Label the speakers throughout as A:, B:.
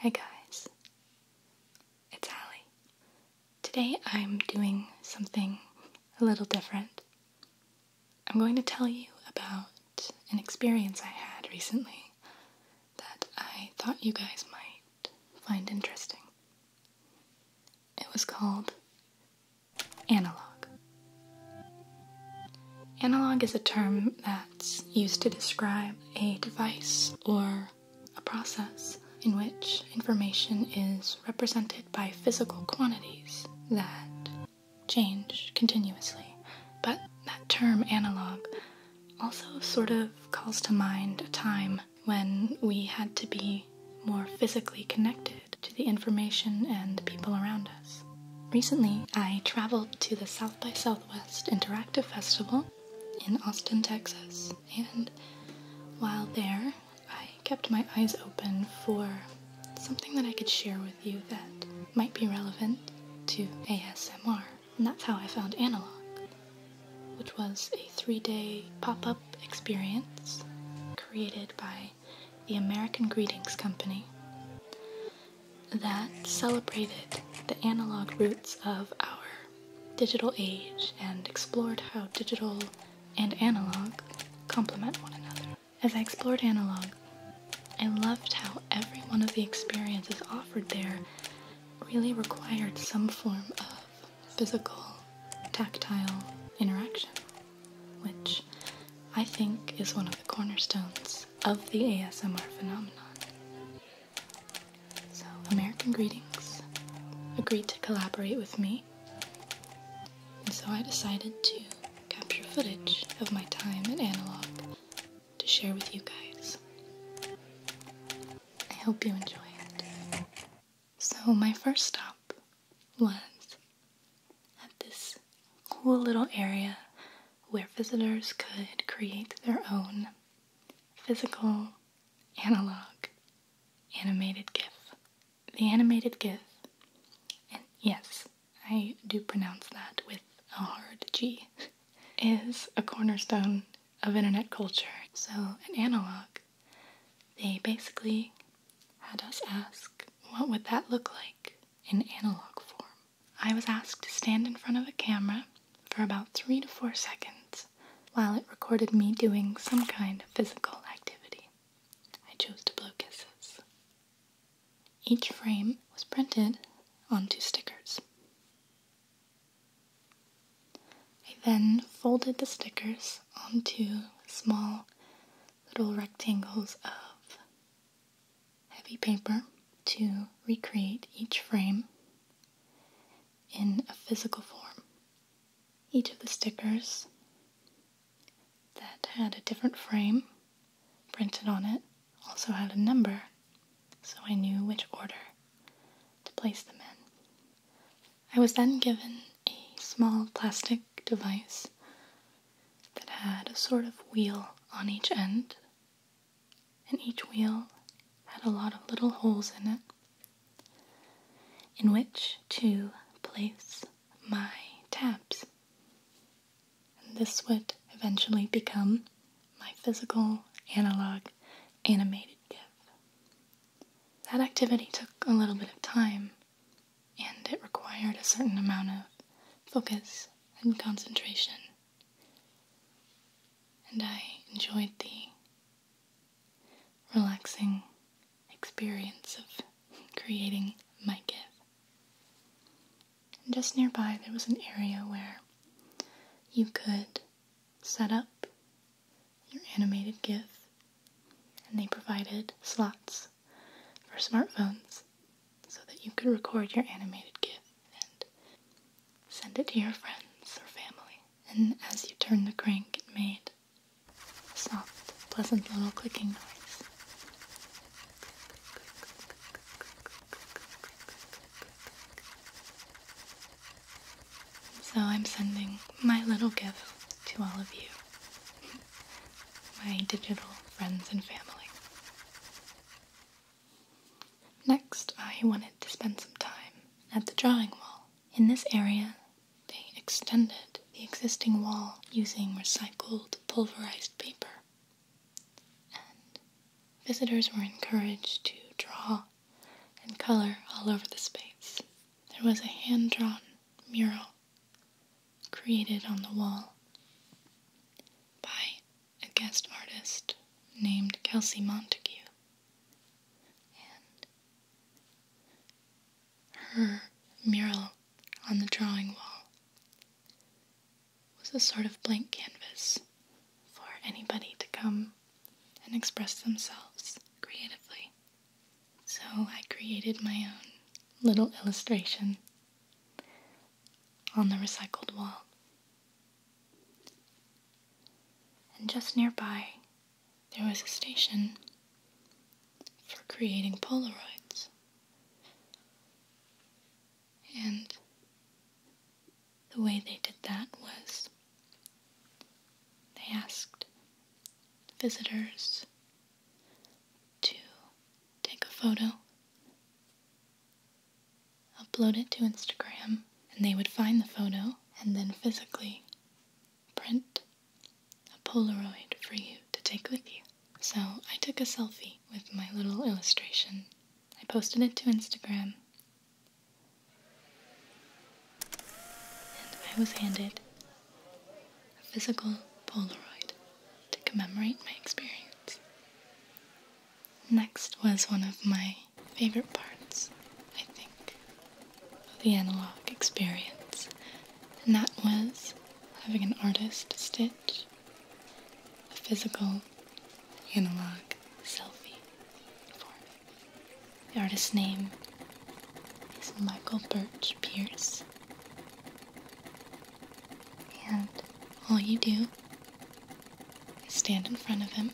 A: Hi guys, it's Ali. Today I'm doing something a little different. I'm going to tell you about an experience I had recently that I thought you guys might find interesting. It was called Analog. Analog is a term that's used to describe a device or a process in which information is represented by physical quantities that change continuously. But that term analog also sort of calls to mind a time when we had to be more physically connected to the information and the people around us. Recently, I traveled to the South by Southwest Interactive Festival in Austin, Texas, and while there, I kept my eyes open for something that I could share with you that might be relevant to ASMR. And that's how I found Analog, which was a three day pop up experience created by the American Greetings Company that celebrated the analog roots of our digital age and explored how digital and analog complement one another. As I explored analog, I loved how every one of the experiences offered there really required some form of physical, tactile interaction which I think is one of the cornerstones of the ASMR phenomenon. So, American Greetings agreed to collaborate with me, and so I decided to capture footage of my time at Analog to share with you guys. I hope you enjoy it. So, my first stop was at this cool little area where visitors could create their own physical analog animated GIF. The animated GIF, yes, I do pronounce that with a hard G, is a cornerstone of internet culture. So, an analog, they basically had us ask, what would that look like in analog form? I was asked to stand in front of a camera for about three to four seconds while it recorded me doing some kind of physical activity. I chose to blow kisses. Each frame was printed on two stickers. I then folded the stickers onto small little rectangles of heavy paper to recreate each frame in a physical form. Each of the stickers that had a different frame printed on it also had a number, so I knew which order to place them in. I was then given a small plastic device that had a sort of wheel on each end, and each wheel had a lot of little holes in it in which to place my tabs. And this would eventually become my physical analog animated GIF. That activity took a little bit of time and it required a certain amount of focus and concentration. And I enjoyed the relaxing experience of creating my gift. just nearby, there was an area where you could set up your animated GIF, and they provided slots for smartphones so that you could record your animated GIF and send it to your friends or family. And as you turned the crank, it made a soft, pleasant little clicking noise. So I'm sending my little GIF to all of you my digital friends and family. Next, I wanted to spend some time at the drawing wall. In this area, they extended the existing wall using recycled pulverized paper, and visitors were encouraged to draw and color all over the space. There was a hand drawn mural created on the wall by a guest artist named Kelsey Montague. her mural on the drawing wall was a sort of blank canvas for anybody to come and express themselves creatively. So I created my own little illustration on the recycled wall. And just nearby, there was a station for creating Polaroids. And the way they did that was they asked visitors to take a photo upload it to Instagram, and they would find the photo and then physically print a Polaroid for you to take with you. So I took a selfie with my little illustration. I posted it to Instagram, and I was handed a physical Polaroid to commemorate my experience. Next was one of my favorite parts, I think, of the analog experience, and that was having an artist stitch a physical analog selfie for me. The artist's name is Michael Birch Pierce. And all you do is stand in front of him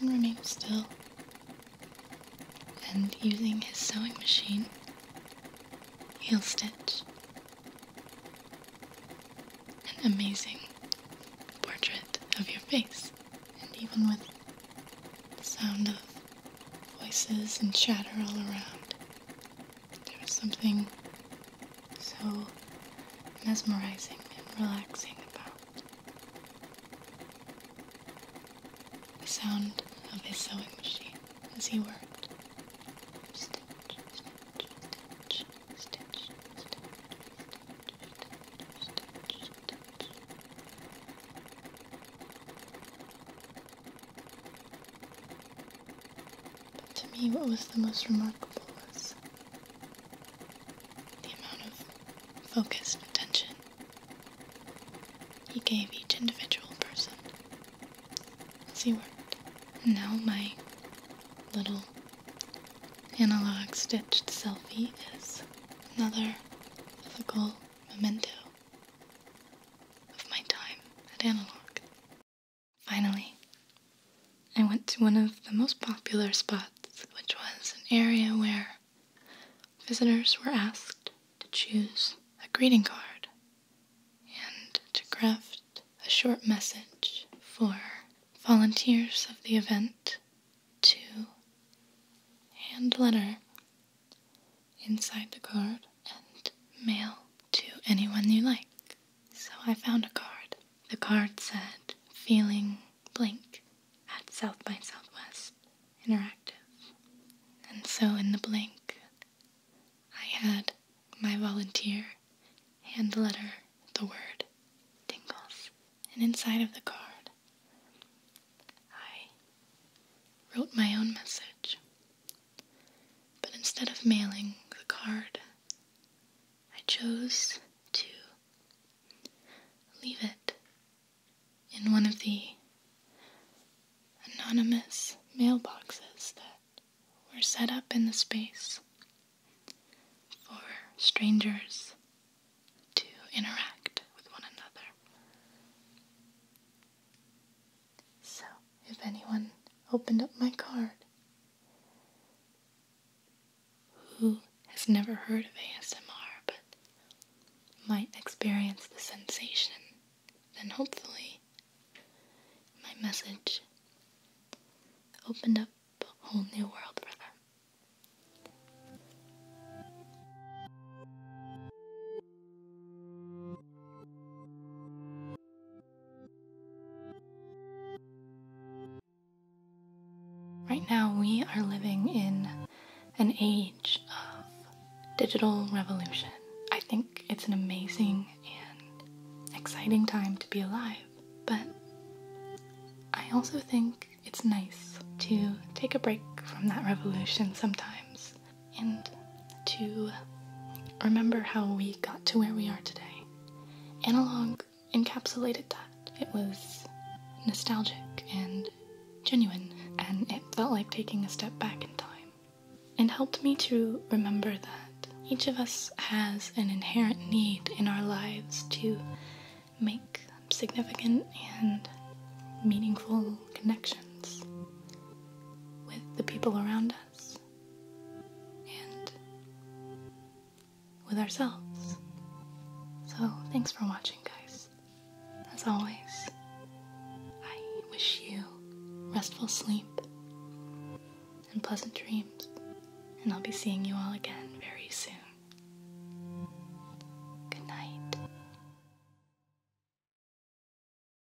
A: and remain still. And using his sewing machine, he'll stitch an amazing portrait of your face. And even with sound of voices and chatter all around, there was something so mesmerizing and relaxing about the sound of his sewing machine as he worked to me, what was the most remarkable was the amount of focused attention he gave each individual person See, he now my little analog stitched selfie is another physical memento of my time at Analog. Finally, I went to one of the most popular spots, which was an area where visitors were asked to choose a greeting card and to craft a short message for volunteers of the event to hand letter inside the card and mail to anyone you like. So I found a card. The card said, Feeling blank at South by Southwest Interactive. And so in the blank, I had my volunteer hand the letter the word tingles. And inside of the card, I wrote my own message but instead of mailing the card, I chose to leave it in one of the anonymous mailboxes that were set up in the space for strangers to interact with one another. So, if anyone opened up my card who has never heard of ASMR but might experience the sensation, then hopefully my message opened up a whole new world for them. Right now, we are living in an age of digital revolution. I think it's an amazing and exciting time to be alive, but I also think it's nice to take a break from that revolution sometimes and to remember how we got to where we are today. Analog encapsulated that. It was nostalgic and genuine, and it felt like taking a step back in time. And helped me to remember that each of us has an inherent need in our lives to make significant and meaningful connections with the people around us and with ourselves. So, thanks for watching, guys. As always, I wish you restful sleep and pleasant dreams, and I'll be seeing you all again very soon. Good night.